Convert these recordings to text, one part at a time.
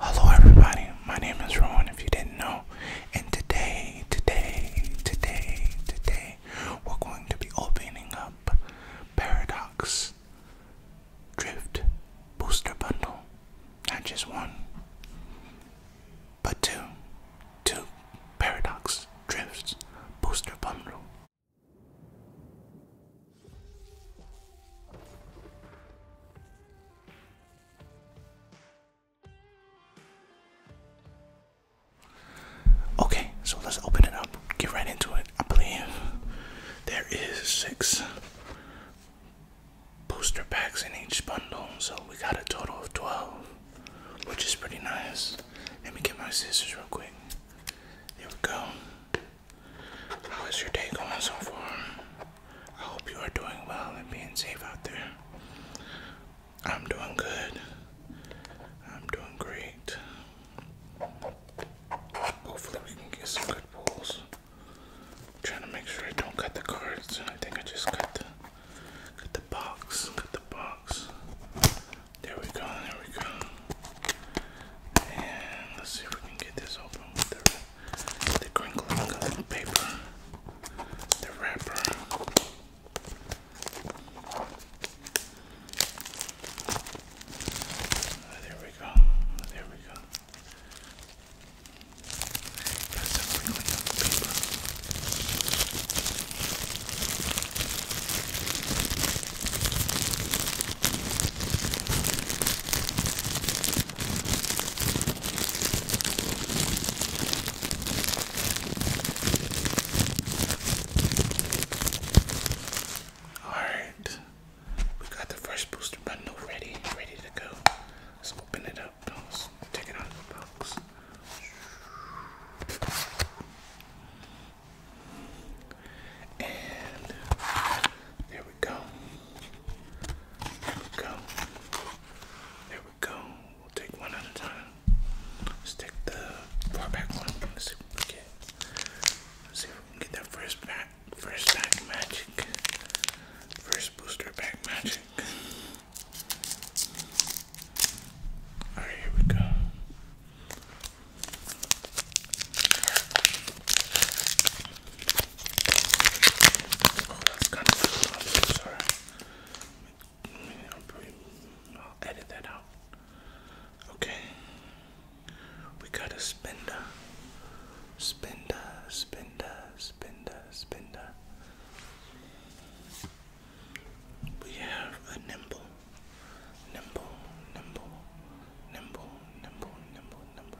Hello everybody, my name is Rowan if you didn't know, and today, today, today, today, we're going to be opening up Paradox Drift Booster Bundle. Not just one, but two. Two Paradox Drifts Booster Bundle. Okay, so let's open it up, get right into it. I believe there is six booster packs in each bundle, so we got a total of 12, which is pretty nice. Let me get my scissors real quick. There we go. How is your day going so far? I hope you are doing well and being safe out there. I'm doing good. I'm doing great. Hopefully, we can get some good pulls. trying to make sure I don't cut the cards. I think I just cut the cut the box. Cut the box. There we go. There we go. And let's see if we can get this open the crinkling of the paper, the wrapper. Ah, there we go. Ah, there we go. That's the crinkling paper. Alright, we got the first booster bundle ready, ready to go. Let's open it up. let take it out of the box. And there we go. There we go. There we go. We'll take one at a time. Let's take the far back one. Let's see if we get. Let's see if we get that first back, first pack magic, first booster pack magic. All right, here we go. Oh, that's kind of sorry. I'll, edit that out. Okay. We got a spender. Spender, spender, spender, spender. We have a nimble. Nimble, nimble, nimble, nimble, nimble, nimble,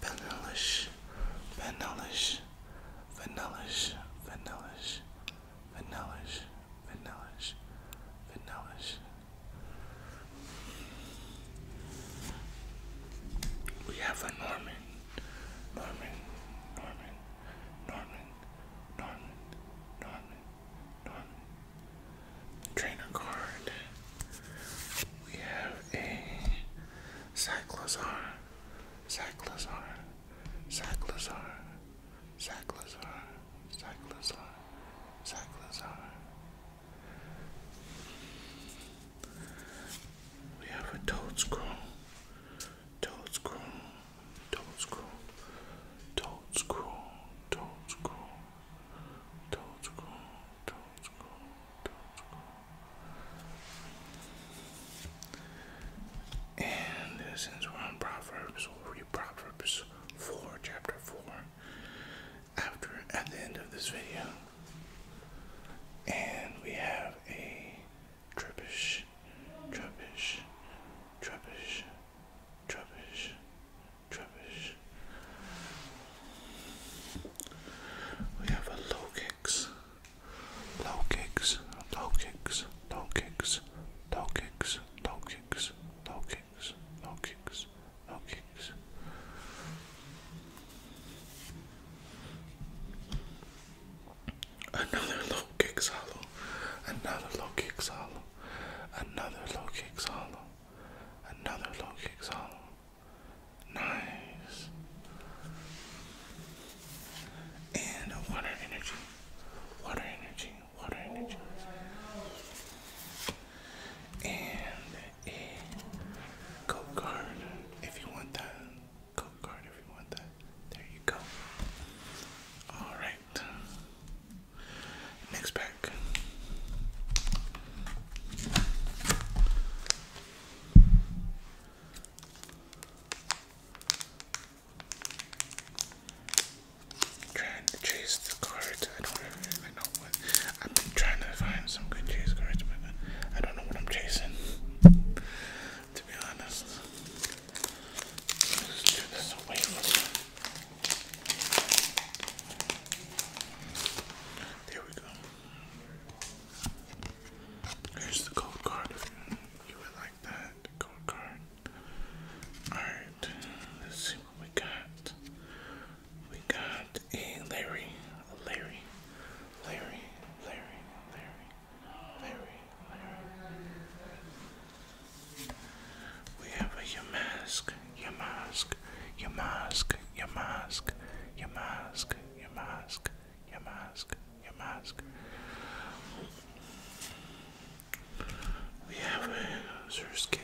vanillish, vanillish, vanillish, vanillish, vanillish, vanillish, vanillish. We have a Norman, Norman, Norman, Norman, Norman, Norman, Norman. Trainer card. We have a Cyclozar, Zach Lazar, Zach Lazar, Zach Lazar, Zach Lazar, Zach Lazar. We have a toad scroll, toad scroll, toad scroll, toad scroll, toad scroll, toad scroll, toad scroll. And since we're on Proverbs, we'll read Proverbs 4, chapter 4, after at the end of this video. And we have a trippish, trippish, trippish, trippish, trippish. We have a low kicks, Low kicks, low kicks, low kicks, low kicks, low kicks, low kicks, low kicks, low kicks. Another low kick solo. Another low kick solo. Another low kick solo. Another low kick solo. Nice. And water energy. Water energy. Water energy. And a code card if you want that. Code card if you want that. There you go. Alright. Next pack. Trying to chase the cards. I don't really know what. I've been trying to find some good chase cards, but I don't know what I'm chasing. To be honest, let's do this away There we go. Here's the gold card you would like that. gold card. Alright, let's see what we got. We got a Larry, Larry, Larry, Larry, Larry, Larry, Larry. We have a Yamask, Yamask, Yamask, Yamask, Yamask, Yamask, your mask. Your mask. We have a Zerus kit.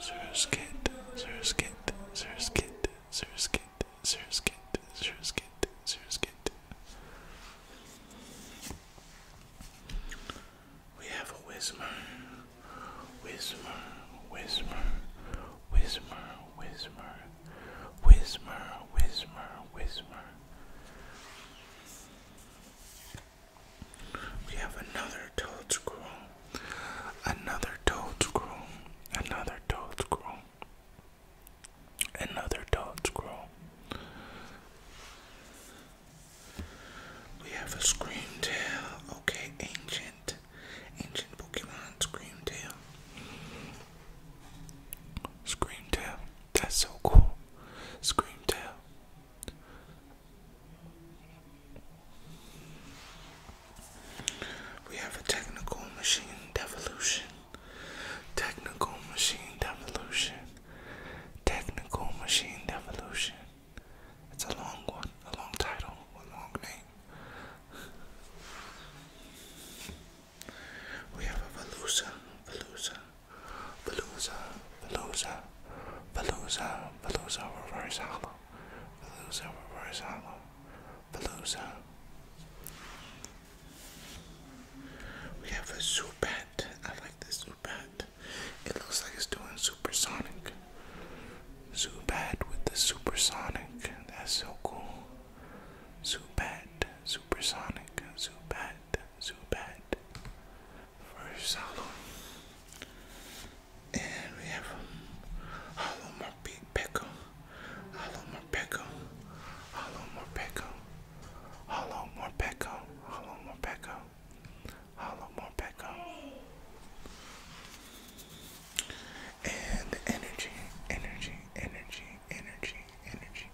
Zerus kit. Zerus kit. Zerus kit. Zerus kit. Zerus kit. Zerus kit. Zerus kit. We have a Whismer. Whismer. Whismer. Whisper, whisper, whisper, whisper, whismer. We have another toad scroll, another toad scroll, another toad scroll, another toad We have a Tail. okay, ancient, ancient Pokemon Tail. Scream tail. That's so cool. Scream tail. We have a technical machine devolution. Technical machine devolution. Technical machine devolution. It's a long one, a long title, a long name. We have a Velusa, Velusa, Velusa, Velusa, Velusa, Velusa reverse hollow, Velusa reverse hollow, Velusa. We have a Zubat. I like this Zubat. It looks like it's doing supersonic. Zubat with the supersonic. That's so cool. Zubat, Supersonic, Zubat, Zubat. First hollow. And we have Hollow Morpeko, Peko, Hollow Morpeko, Hollow Morpeko, Hollow Morpeko, Hollow Morpeko, Hollow Morpeko and energy, energy, energy, energy, energy.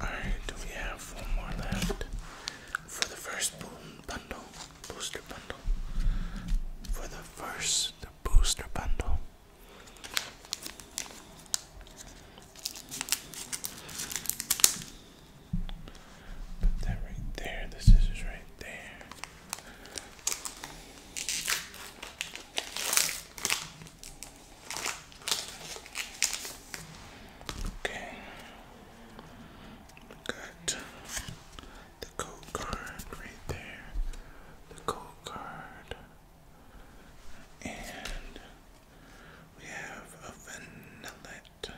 Alright, do we have one more left for the first boom bundle? Booster bundle. For the first the booster bundle. Put that right there, the scissors right there. Okay. Got the code card right there. The code card. And we have a vanillette.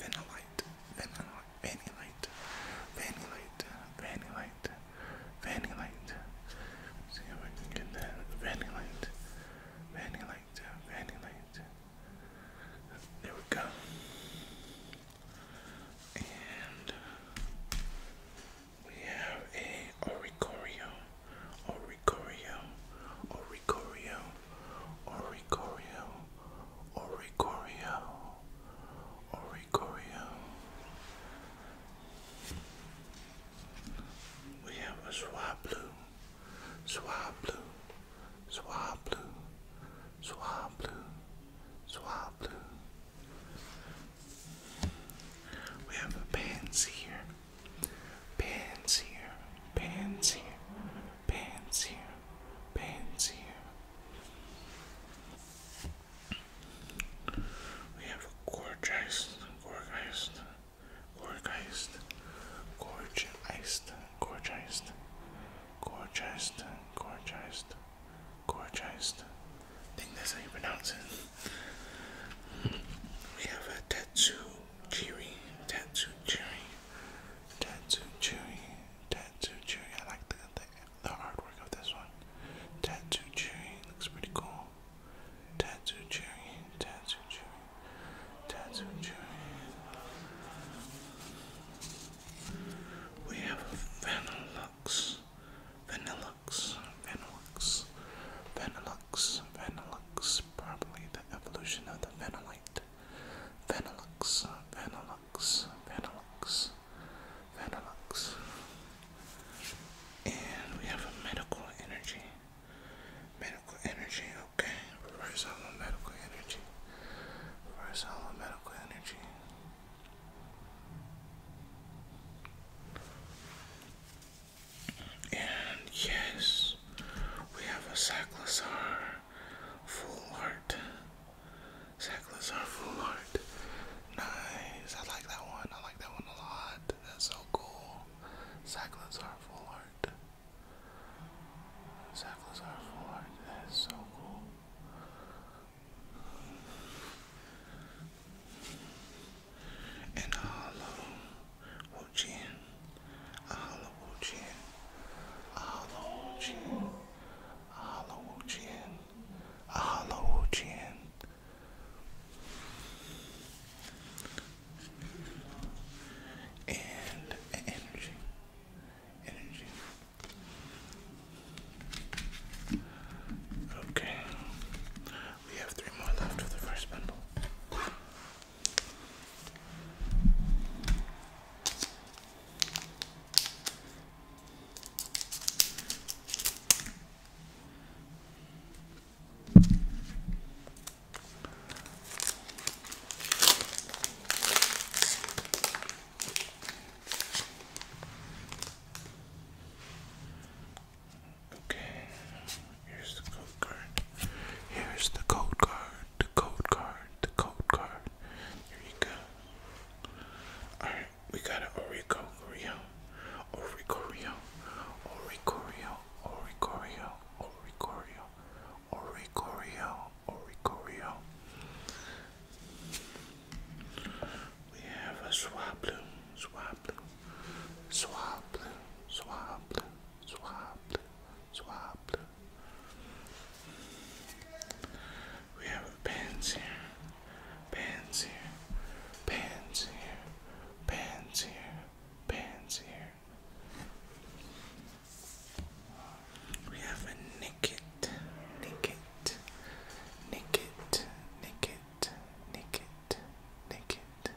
Vanillite, vanillite, vanillite, vanillite, vanillite, vanillite. Let's see if I can get that. Vanillite, vanillite, vanillite. There we go. And we have a oricorio, oricorio, oricorio, oricorio, oricorio. Oricorio. We have a Swablu, Swablu, Swablu, Swablu, Swablu. We have a pansy here, pants here, pants here, pants here, pants here. We have a gorgeist, gorgeist, gorgeist, gorgeist, gorgeist, gorgeist, gorgeist, gorgeist. I think that's how you pronounce it. We have a tattoo cherry, tattoo cherry, tattoo cherry, tattoo cherry. I like the the, hard work of this one. Tattoo Cherry looks pretty cool. Tattoo Cherry, Tattoo Cherry, Tattoo Cherry. We have Vanilux, Vanilux, Vanilux, Vanilux, Vanilux, probably the evolution of the Vanillite. Vanilux, Vanilux. Vanilux, Vanilux, And we have a medical energy. Medical energy, okay. Reverse hollow medical energy. Reverse hollow medical energy. And yes, we have a Cyclosar full Checklist are full art. Nice. I like that one. I like that one a lot. That's so cool. Cyclists are full art. Cyclists are full art. That is so cool. And a hollow Wuchi. A hollow Wuchi. A hollow Wuchi. A Ahalawochian, Ahalawochian. And energy, energy. Okay, we have three more left of the first bundle. Okay, here's the code card. Here's the code card, the code card, the code card. Here you go. Alright, we got an Orico Rio. Orico Rio. Orico Rio. Orico Rio. Orico Rio. Orico Rio. Orico Rio. We have a swab blue. Swab blue. Swab blue. We have pens here, pens here, pens here, pens here, pens here. We have a nicket, nicket, nicket, nicket, nicket, nicket.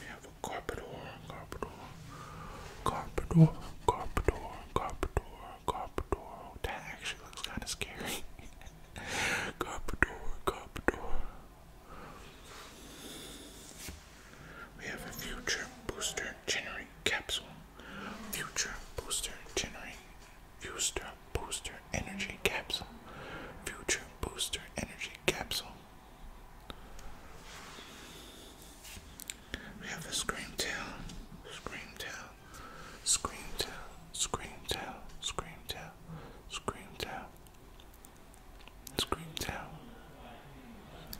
We have Carpador, Carpador, Carpador, Carpador, Carpador, Carpador. That actually looks kind of scary. Carpador, Carpador. We have a future booster generic capsule. Future booster generic. Future booster energy capsule. Future booster energy capsule. We have a scream tail, scream tail, scream tail, scream tail, scream tail, scream tail, scream tail.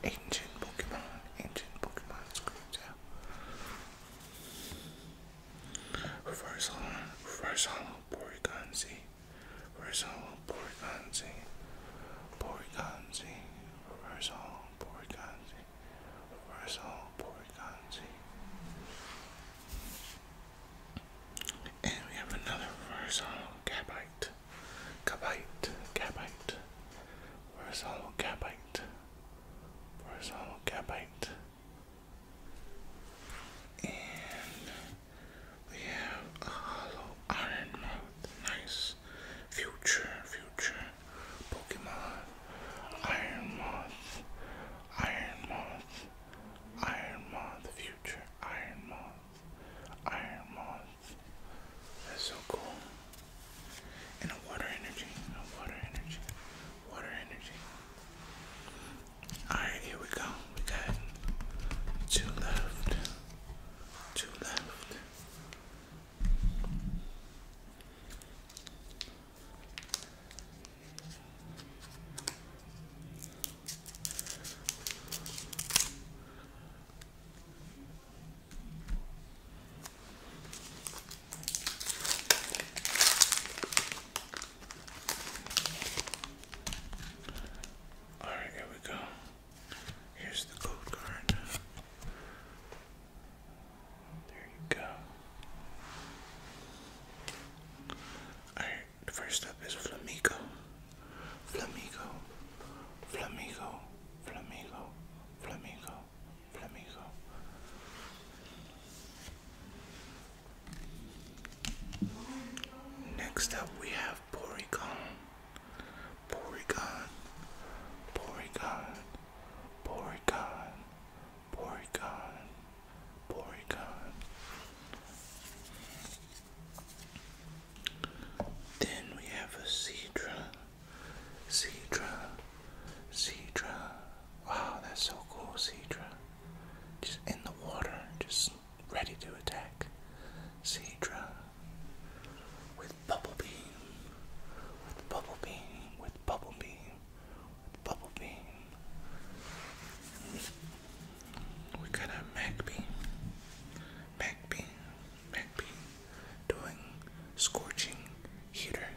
Ancient Pokemon, ancient Pokemon, scream tail. Reverse hollow, reverse hollow, Porygon Z. Reverse hollow, Borganzi, Borganzi, reversal, Borganzi, reversal, Borganzi. And we have another reversal, Gabite, Gabite, Gabite, reversal, Gabite, reversal, Gabite. And we have a hollow iron mouth. Nice. Future, Future, Pokemon, Iron Moth, Iron Moth, Iron Moth, Future, Iron Moth, Iron Moth. That's so cool. And a water energy, a water energy, water energy. Alright, here we go. We got two left. Two left. All right, here we go. Here's the code card. There you go. Alright, first up is Flamigo. Flamigo. Flamigo. Flamigo. Flamigo. Flamigo. Next up we have have Porygon, Porygon, Porygon, Porygon, Porygon, Porygon. Then we have a Cedra, Cedra, Cedra. Wow, that's so cool, Cedra. Just in the water, just ready to attack. Cedra with bubble beam, with bubble beam, with bubble beam, with bubble beam. We got a MacBee, MacBee, MacBee, doing scorching heater.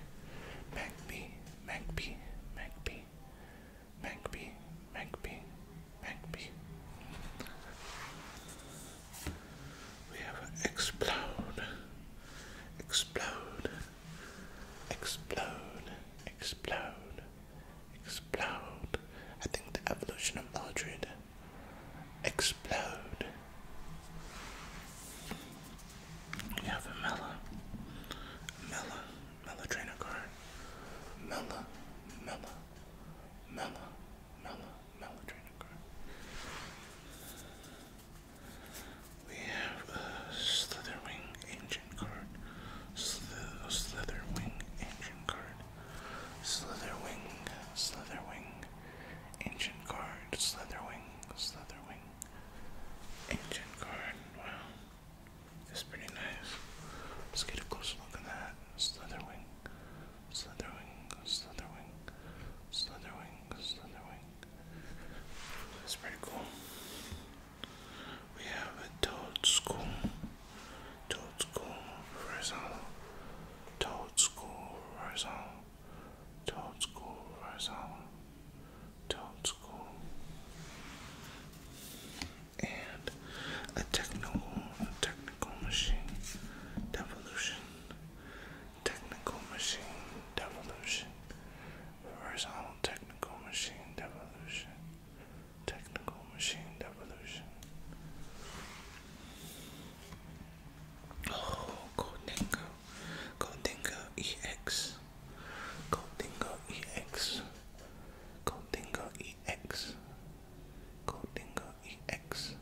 MacBee, MacBee, MacBee, MacBee, MacBee, MacBee. We have explode, explode, explode, explode, explode. I think the evolution of Aldred. Explode. We have a Mela, Mela, Mela trainer card. Mela, Mela, Mela, Mela, Maladrenochron. We have a Slitherwing Ancient card, Slither, Ancient card, Slitherwing, Slitherwing, Ancient card, Slitherwing, Slitherwing, Ancient card. Wow, it's pretty nice. Let's get a closer look at that. Slitherwing, Slitherwing, Slitherwing, Slitherwing, Slitherwing. That's pretty cool. We have a Toad School, Toad School Horizontal, Toad School Horizontal, Toad School Horizontal, Toad School. And a technical, technical machine, devolution, Technical machine devolution. Horizontal technical machine devolution. Technical machine devolution. Oh, Goldingo. Goldingo EX. Goldingo EX. Goldingo EX. Goldingo EX.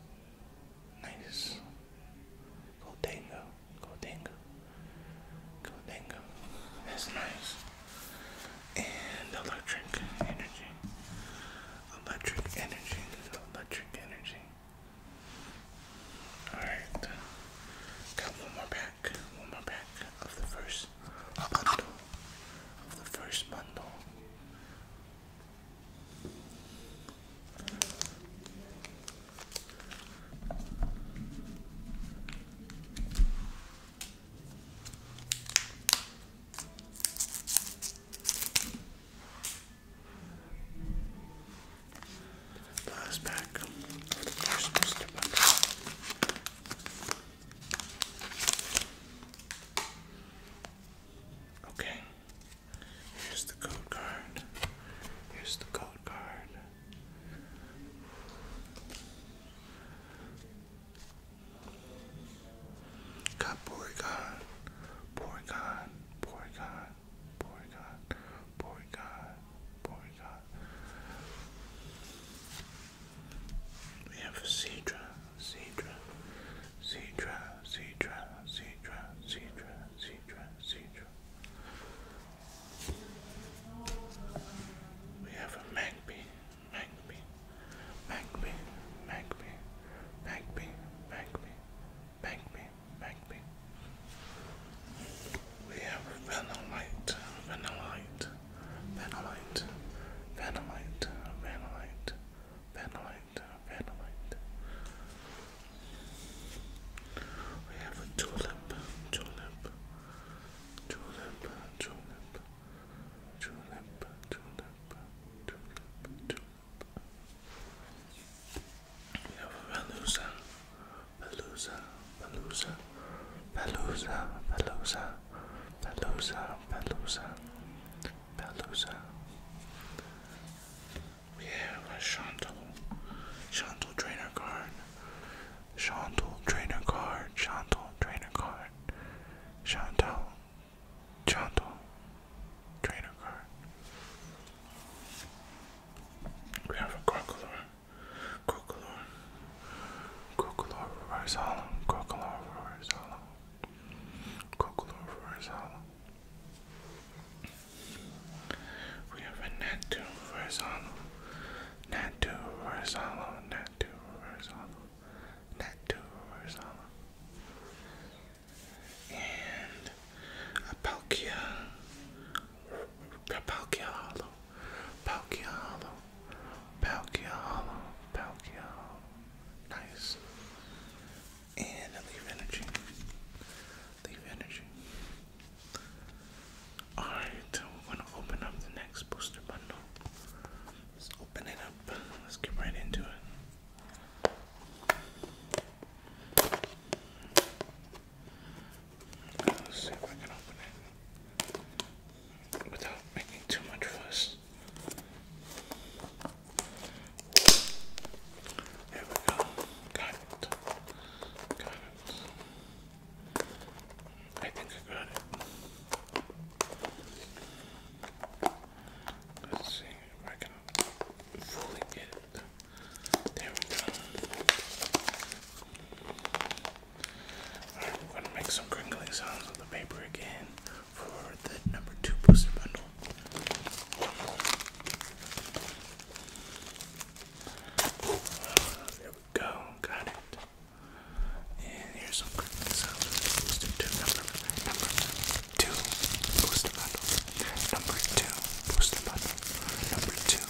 Nice. Go Dango. Go That's nice. And electric energy. Electric energy. Electric energy. Alright. Got one more pack. One more pack of the first bundle. Of the first bundle. The last pack the first booster Okay, Here's the code card. Here's the code card. Got Porygon, Porygon, Porygon, Porygon, Porygon, Porygon. We have a Cedra, Cedra, Cedra, Cedra, Cedra, Cedra, Cedra, Cedra. We have a magpie, magpie, magpie, magpie, magpie, magpie, magpie, magpie. We have a vanillite, vanillite, vanillite, vanillite, vanillite, vanillite. Vanillite, Vanillite. We have a tulip, tulip, tulip, tulip, tulip, tulip, tulip, tulip. We have a Valusa, Valusa, Valusa, Valusa, Valusa, Valusa, Valusa, Palooza. We have a Shanto. Shanto trainer card. Shanto trainer card. Shanto trainer card. Shanto. Shanto. Trainer card. We have a Crocolore. Crocolore. Crocolore reverse hollow. Crocolore reverse hollow. Crocolore reverse hollow. We have a net to horizontal, net to horizontal, net to horizontal, net to horizontal, and a Palkia, a Palkia Hollow, Palkia Hollow, Palkia Hollow, Nice. And leave energy. Leave energy. Alright, we're to open up the next booster bundle. Let's open it up. Let's get right into it. Let's see if I can open it without making too much fuss. Here we go. Got it. Got it. I think I got it. Let's see if I can fully get it. There we go. Alright, we gonna make some crinkling sounds with the paper again for the number two booster bundle. Uh, there we go, got it. And here's some crippling sounds for the booster two number two booster bundle. Number two booster bundle. Number two booster bundle. Number two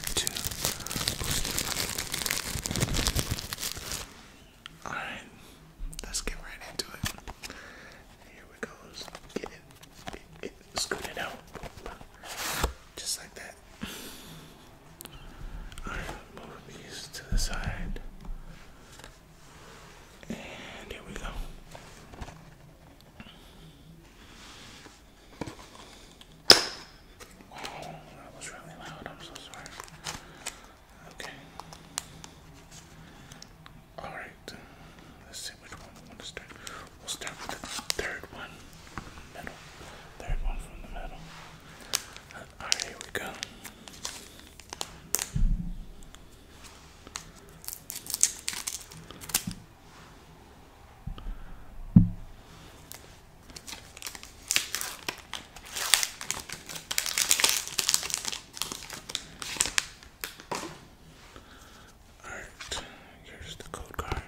booster bundle. Alright, let's get right into it. Here we go. Get it, scoot it out. Just like that. Alright, move these to the side. And here we go. Wow, that was really loud. I'm so sorry. Okay. Alright. Let's see which one we want to start. We'll start with the third one. Middle. Third one from the middle. Alright, here we go. Alright, here's the code card.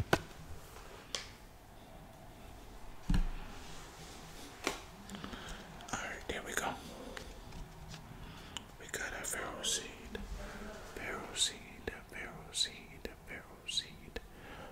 Alright, there we go. We got a pharaoh seed, pharaoh seed, pharaoh seed, pharaoh seed,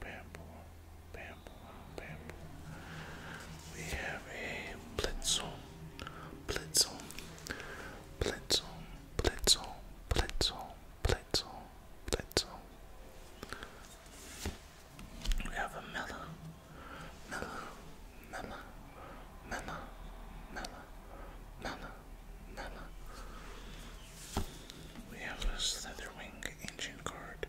bamboo, bamboo, bamboo. We have a blitzel, blitzel, blitzel, blitzel, blitzel, blitzel, blitzel. We have a mellow, mellow, mellow, mellow, mellow, mellow, mellow. We have a Slitherwing Ancient card.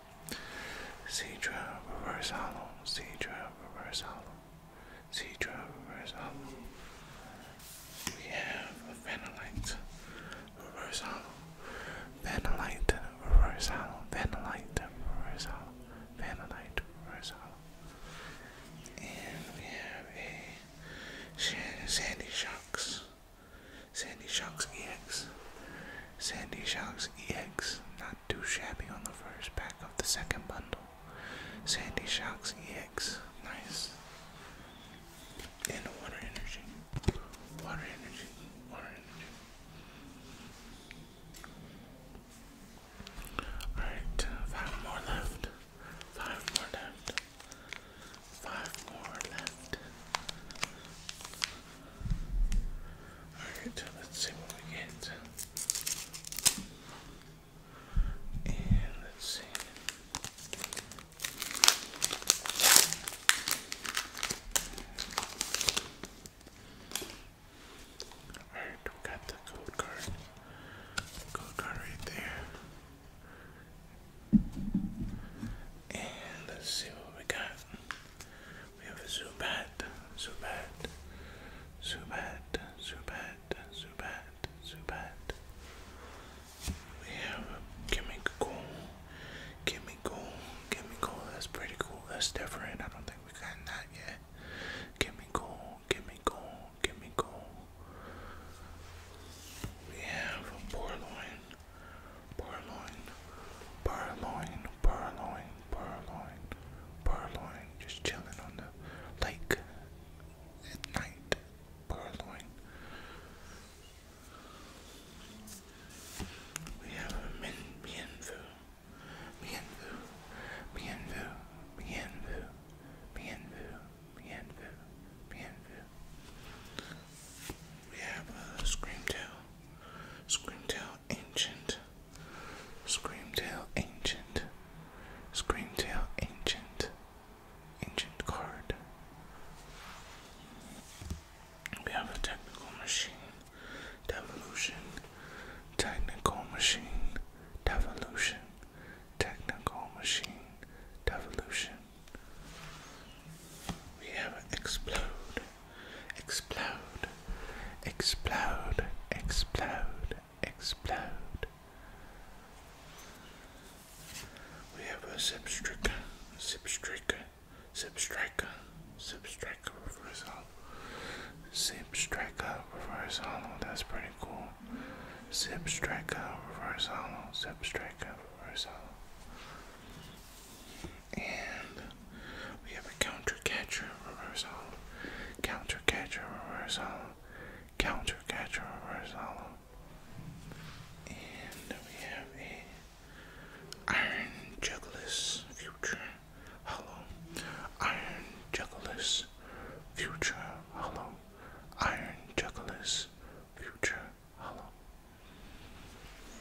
Cedra reverse hollow, Cedra reverse hollow, Cedra reverse hollow. We have a Vanillite reverse hollow, Vanillite reverse hollow, Vanillite reverse hollow, Vanillite reverse hollow. And we have a Sandy Shocks Sandy Sharks EX. Sandy Sharks EX, not too shabby on the first pack of the second bundle. Sandy Sharks EX, nice. And water energy. Water energy. Water energy. Alright, five more left. Five more left. Five more left. Alright, let's see what we get. And let's see. Alright, we got the code card. Code card right there. And let's see what we got. We have a Zubat, Zubat, Zubat, Zubat, Zubat, Zubat. We have a Kimiko, Kimiko, Kimiko. That's pretty cool. That's different. I don't think we've gotten that yet. Kimiko, Kimiko, Kimiko. We have a Porloin. Purloin, purloin, purloin, purloin, purloin, just chilling on the lake at night. Purloin. We have a mienvu, mienvu, mienvu, mienvu, mienvu, mienvu, mienvu. We have a scream tail. Screamtail Ancient, Screamtail Ancient, Screamtail Ancient, Ancient card. We have a Technical Machine, Devolution, Technical Machine, Devolution, Technical Machine, Devolution. We have an Explode. Explode, explode, explode, explode. We have a zip zip zip zip substriker, reverse hollow, zip reversal, reverse hollow. That's pretty cool. Zip reverse hollow, zip reversal, reverse hollow and we have a counter catcher reversal, counter catcher reversal, counter catcher reversal, and we have a iron juggless future hollow, iron juggless future hollow, iron juggless future hollow.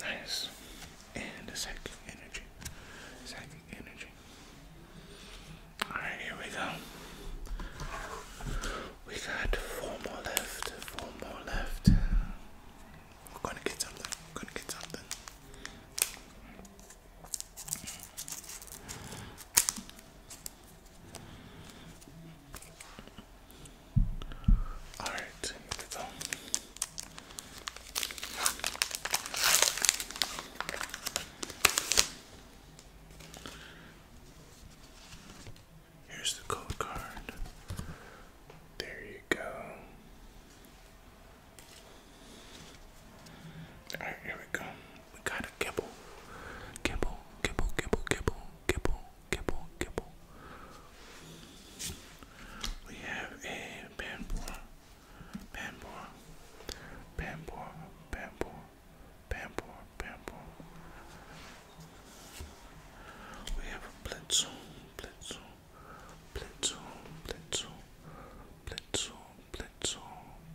Nice. And a second energy. Second energy. Alright, here we go. We got four more left. Four more left. We're gonna get something. We're gonna get something. Alright, here we go. Here's the code card. There you go. Alright, here we go. We got a kibble. Kibble, kibble, kibble, kibble, kibble, kibble, kibble, we have a Bambor, Bambor, Bambor, Bambor, Bambor, Bambor. We have a Blitzel, Blitzel, Blitzel, Blitzel, Blitzel, Blitzel,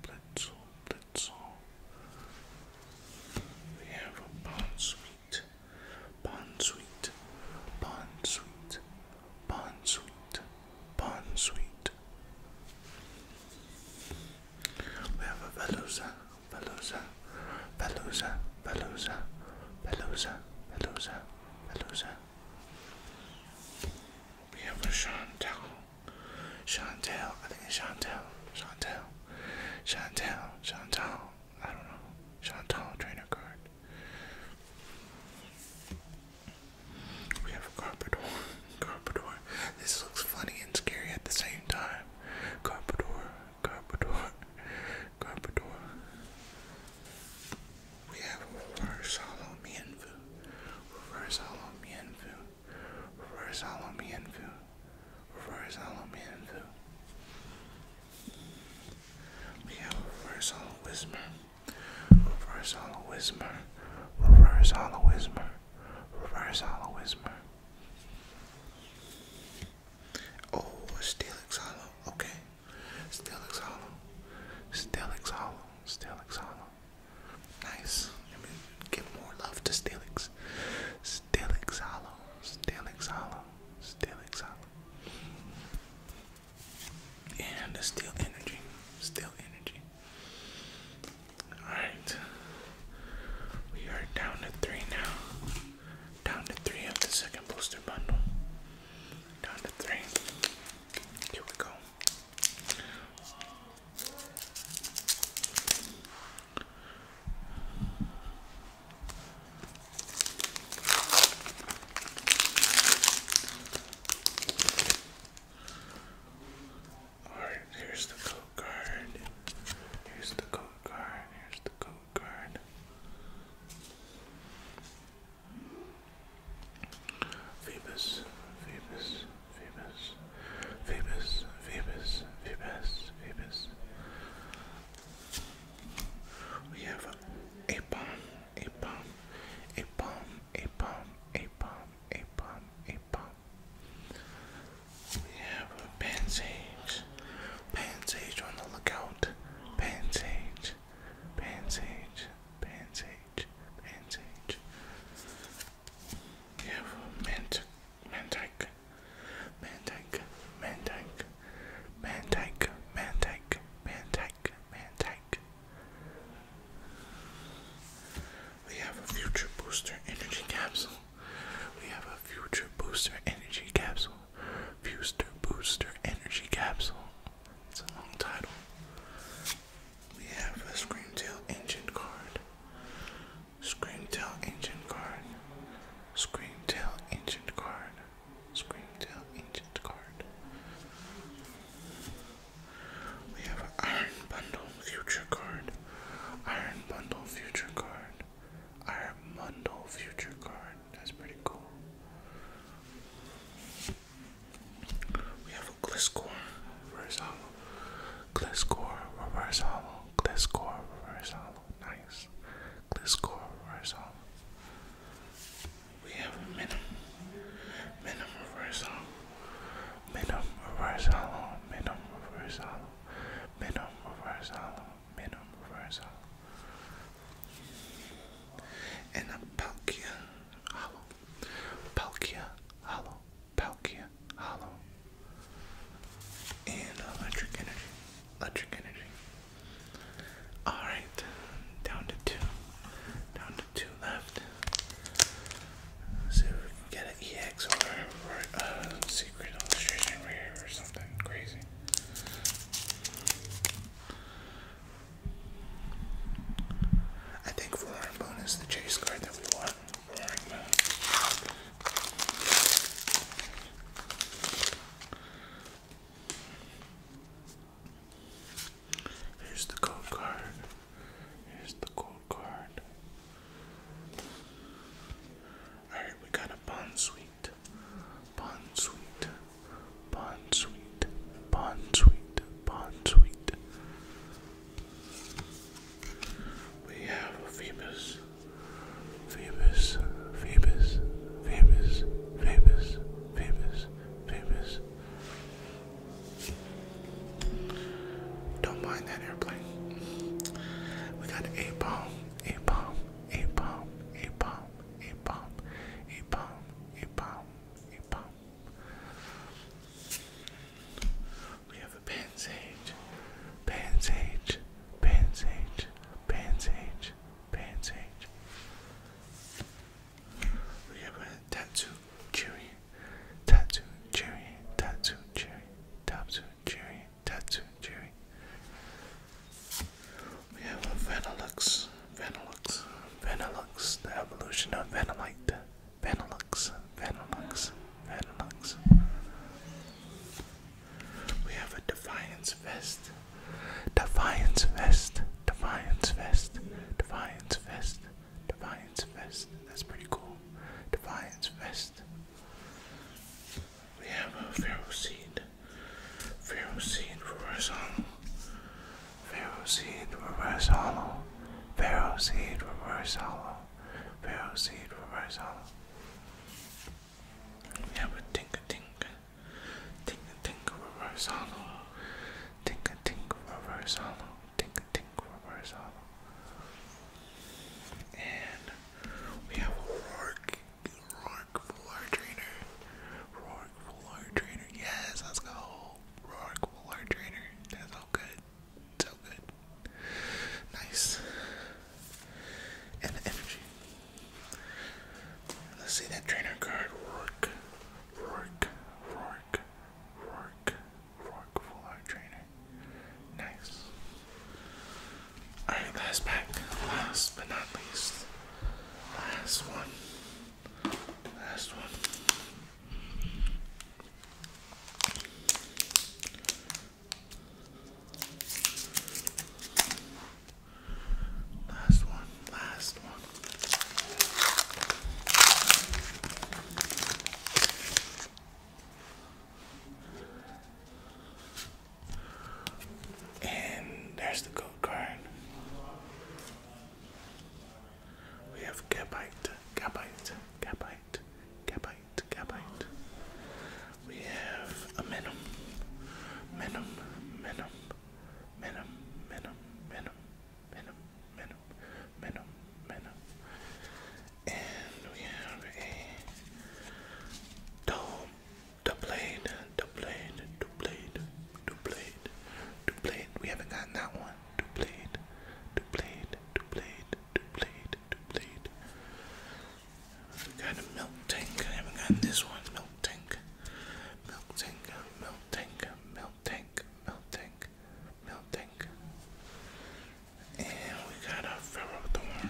Blitzel, Blitzel. We have a Bondsweet sweet, pan sweet, pan sweet, pan sweet, pan sweet. We have a velosa, velosa, velosa, velosa, velosa, velosa, velosa. We have a Chantel, Chantel, I think it's Chantel, Chantel, Chantel, Chantel, I don't know, Chantel trainer card. We have a Carpador. Carpador. This looks funny and scary at the same time. Carpador. Carpador. Carpador. We have reverse hollow Mienvu. Reverse hollow Mienvu. Reverse hollow Mienvu. Reverse hollow Mienvu. We have reverse hollow whisper, reverse hollow whisper, reverse hollow whisper, reverse hollow whisper. Oh, Steelix hollow, okay. Steelix hollow, Steelix hollow, Steelix hollow. Nice. I mean, give more love to Steelix. Steelix hollow, Steelix hollow, Steelix hollow. And the still energy. Still energy. Alright. We are down to three now. Down to three of the second booster bundle. Down to three. Here we go. Alright, here's the code card. Here's the code card. Here's the code card. Phoebus, Phoebus, Phoebus, Phoebus, Phoebus, Phoebus, Phoebus, we have a bomb, a bomb, a bomb, a bomb, a bomb, a bomb, a bomb. We have a pansage, pansage on the lookout, pansage, pansage, pansage, pansage. We have a mantic, mantic, mantic, mantic, Mantike, Mantike, Mantike, Mantike. We have a future booster energy capsule. We have a future booster energy capsule. Fuster booster energy capsule. It's a long title. We have a Screamtail engine card. Screamtail engine card. Screamtail engine card. Screamtail Ancient card. We have an Iron Bundle Future card. Iron Bundle Future card. Iron Bundle Future card. That's pretty cool. We have a Gliscor Reverse Hollow. Gliscor Reverse Hollow. Gliscor Reverse Hollow. Nice. Let's go reverse off. We reverse off, minimum reverse hollow, minimum reverse hollow, minimum reverse hollow, minimum reverse hollow, and a Palkia hollow, Palkia hollow, Palkia hollow, and electric energy, electric energy. Alright, down to two. Down to two left. see if we can get an EX or, a secret illustration rare or something crazy. I think Roaring Moon is the chase card that we want. Here's the code card. Here's the code card. Alright, we got a pawn suite. Pawn suite. Pawn suite. Pawn suite. Pawn suite. We have a Phoebus. Phoebus. Phoebus. Phoebus. Phoebus. Phoebus, Phoebus. Don't mind that airplane. We got a bomb, a bomb, a bomb, a bomb, a bomb, a bomb, a bomb, a bomb. We have a pansage, pansage, pansage, pansage, painting. We have a tattoo cherry, tattoo cherry, tattoo cherry, tattoo cherry, tattoo cherry. We have a Vanilux, Vanilux, Vanilux, the evolution of Vanillite, Vanilux, Vanilux, Vanilux. We have a Defiance Vest, Defiance Fest. Defiance Fest. Defiance Fest. Defiance Fest. That's pretty cool. Defiance Fest. We have a Pharaoh Seed. Pharaoh Seed Reverse Hollow. Pharaoh Seed Reverse Hollow. Pharaoh Seed Reverse Hollow. Pharaoh Seed Reverse Hollow. We have a tinka tinka, tinka tinka reverse hollow, tinka tinka reverse hollow, tinka tinka reverse hollow. And we have a Rourke, Rourke full art trainer, Rourke full art trainer. Yes, let's go, Rourke full trainer. That's all good. So good. Nice. And energy. Let's see that trainer card. work, Rourke, Rourke, Rourke, Rourke, full art trainer. Nice. Alright, last pack. Last but not least. Last one. Last one. Last one, last one. And there's the gold card. We have Gabite, Gabite, Gabite, Gabite, Gabite. We have a Menom, Menom, Menom, Venom, Venom, Venom, Venom, Venom, Venom, Venom. And we have a dome, the blade, the blade, the blade, the blade, the blade. We haven't gotten that one. The blade, the blade, the blade, the blade, the blade. We got a milk tank. I haven't gotten this one. Milk tank. Milk tank, milk tank, milk tank, milk tank, milk tank. And we got a Pharaoh Thorn,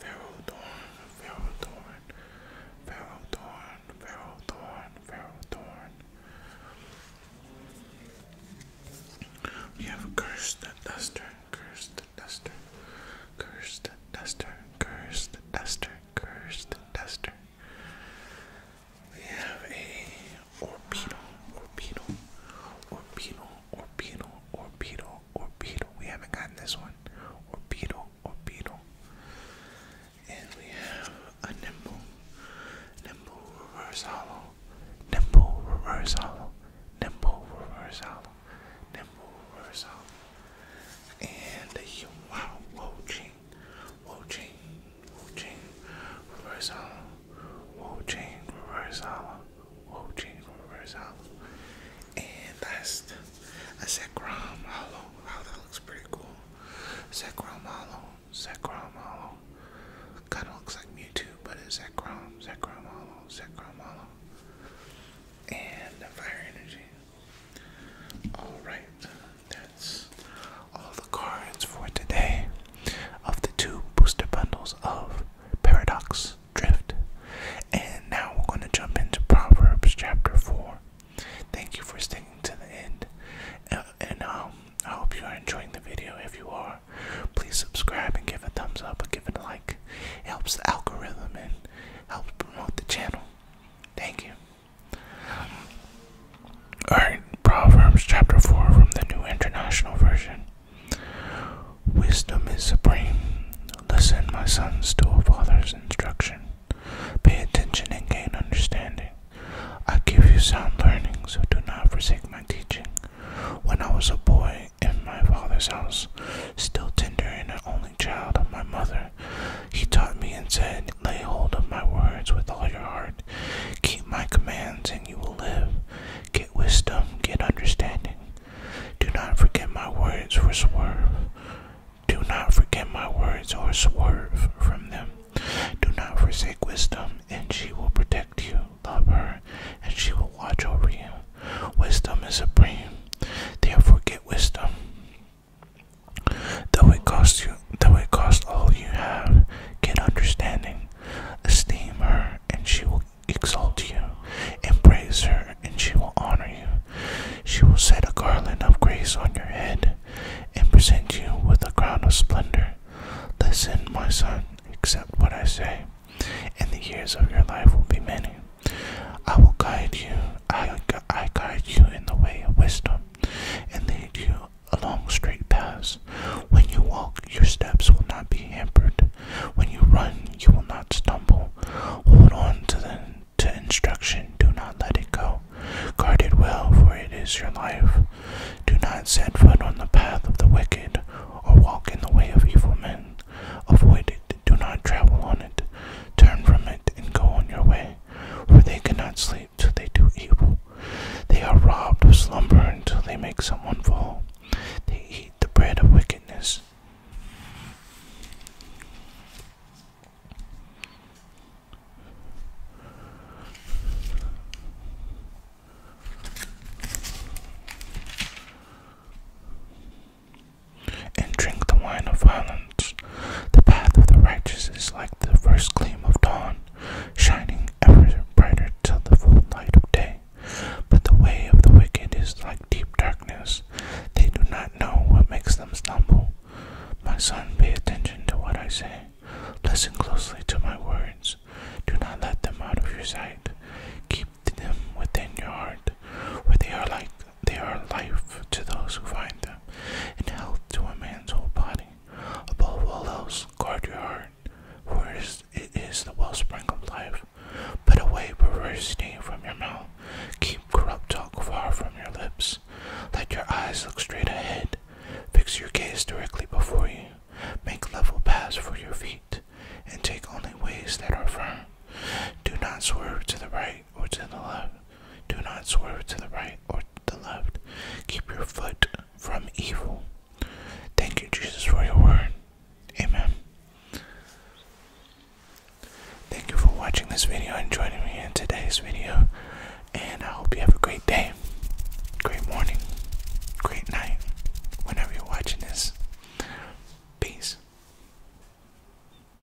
Pharaoh Thorn, Pharaoh Thorn, Pharaoh Thorn, Pharaoh Thorn, Pharaoh Thorn. We have a cursed duster, cursed duster, cursed duster, cursed duster, Cursed Duster. We have a Orpino, Orpino, Orpino, Orpino, Orpino, Orpino. We haven't gotten this one. Orpino, Orpino. And we have a Nimble, Nimble Reverse Hollow, Nimble Reverse Hollow, Nimble Reverse Hollow, Nimble Reverse Hollow and wow, Wo Ching, Wo Ching, Wo Ching, reverse hollow, Wo Ching, reverse hollow, Wo Ching, reverse hollow, and that's the, a Zekrom hollow. Wow, that looks pretty cool. Zekrom hollow, Zekrom hollow. Kind of looks like Mewtwo, but it's Zekrom, Zekrom hollow, Zekrom hollow. And Fire Energy, Alright, that's all the cards for today of the two booster bundles of Paradox Drift. And now we're going to jump into Proverbs chapter 4. Thank you for sticking to the end. Uh, and um, I hope you are enjoying the video. If you are, please subscribe and give a thumbs up or give it a like. It helps the algorithm and helps promote the channel. Thank you. Alright, Proverbs chapter 4 from the New International Version. Wisdom is supreme. Listen, my sons, to a father's instruction. Pay attention and gain understanding. I give you sound learning, so do not forsake my teaching. When I was a boy in my father's house, still tender and only child of my mother. He taught me and said, Lay hold of my words with all your heart. Keep my commands, and you will live. Get wisdom, get understanding. Do not forget my words or swerve. Do not forget my words or swerve from them. Do not forsake wisdom, and she will protect you. Love her, and she will watch over you. Wisdom is supreme. Therefore, get wisdom. Though it cost you though it cost all you have, get understanding. Esteem her and she will exalt you. Embrace her and she will honor you. She will set a garland of grace on your head and present you with a crown of splendor. Listen, my son, accept what I say, and the years of your life will be many. I will guide you. I, I guide you in the way of wisdom and lead you along straight paths. When you walk, your steps will not be hampered. When you run, you will not stumble. Hold on to the to instruction. Do not let it go. Guard it well, for it is your life. Do not set foot on the path of the wicked or walk in the way of evil men. Avoid it do not travel on it, turn from it, and go on your way, for they cannot sleep till they do evil. They are robbed of slumber until they make someone fall. They eat the bread of wickedness and drink the wine of violence. The path of the righteous is like the first gleam of dawn, shining ever brighter till the full light of day. But the way of the wicked is like deep darkness. They do not know what makes them stumble. My son, pay attention to what I say. Listen closely to my words. Do not let them out of your sight. Keep them within your heart, where they are like they are life to those who find them, and health to a man's whole body. Above all else, guard your heart, for it is the wellspring of life. Put away perversity from your mouth, keep corrupt talk far from your lips. Let your eyes look straight ahead, fix your gaze directly before you, make level paths for your feet, and take only ways that are firm. Do not swerve to the right or to the left, do not swerve to the right or to the left. Keep your foot from evil. Thank you, Jesus, for your word. Amen. Thank you for watching this video and joining me in today's video. And I hope you have a great day, great morning, great night, whenever you're watching this. Peace.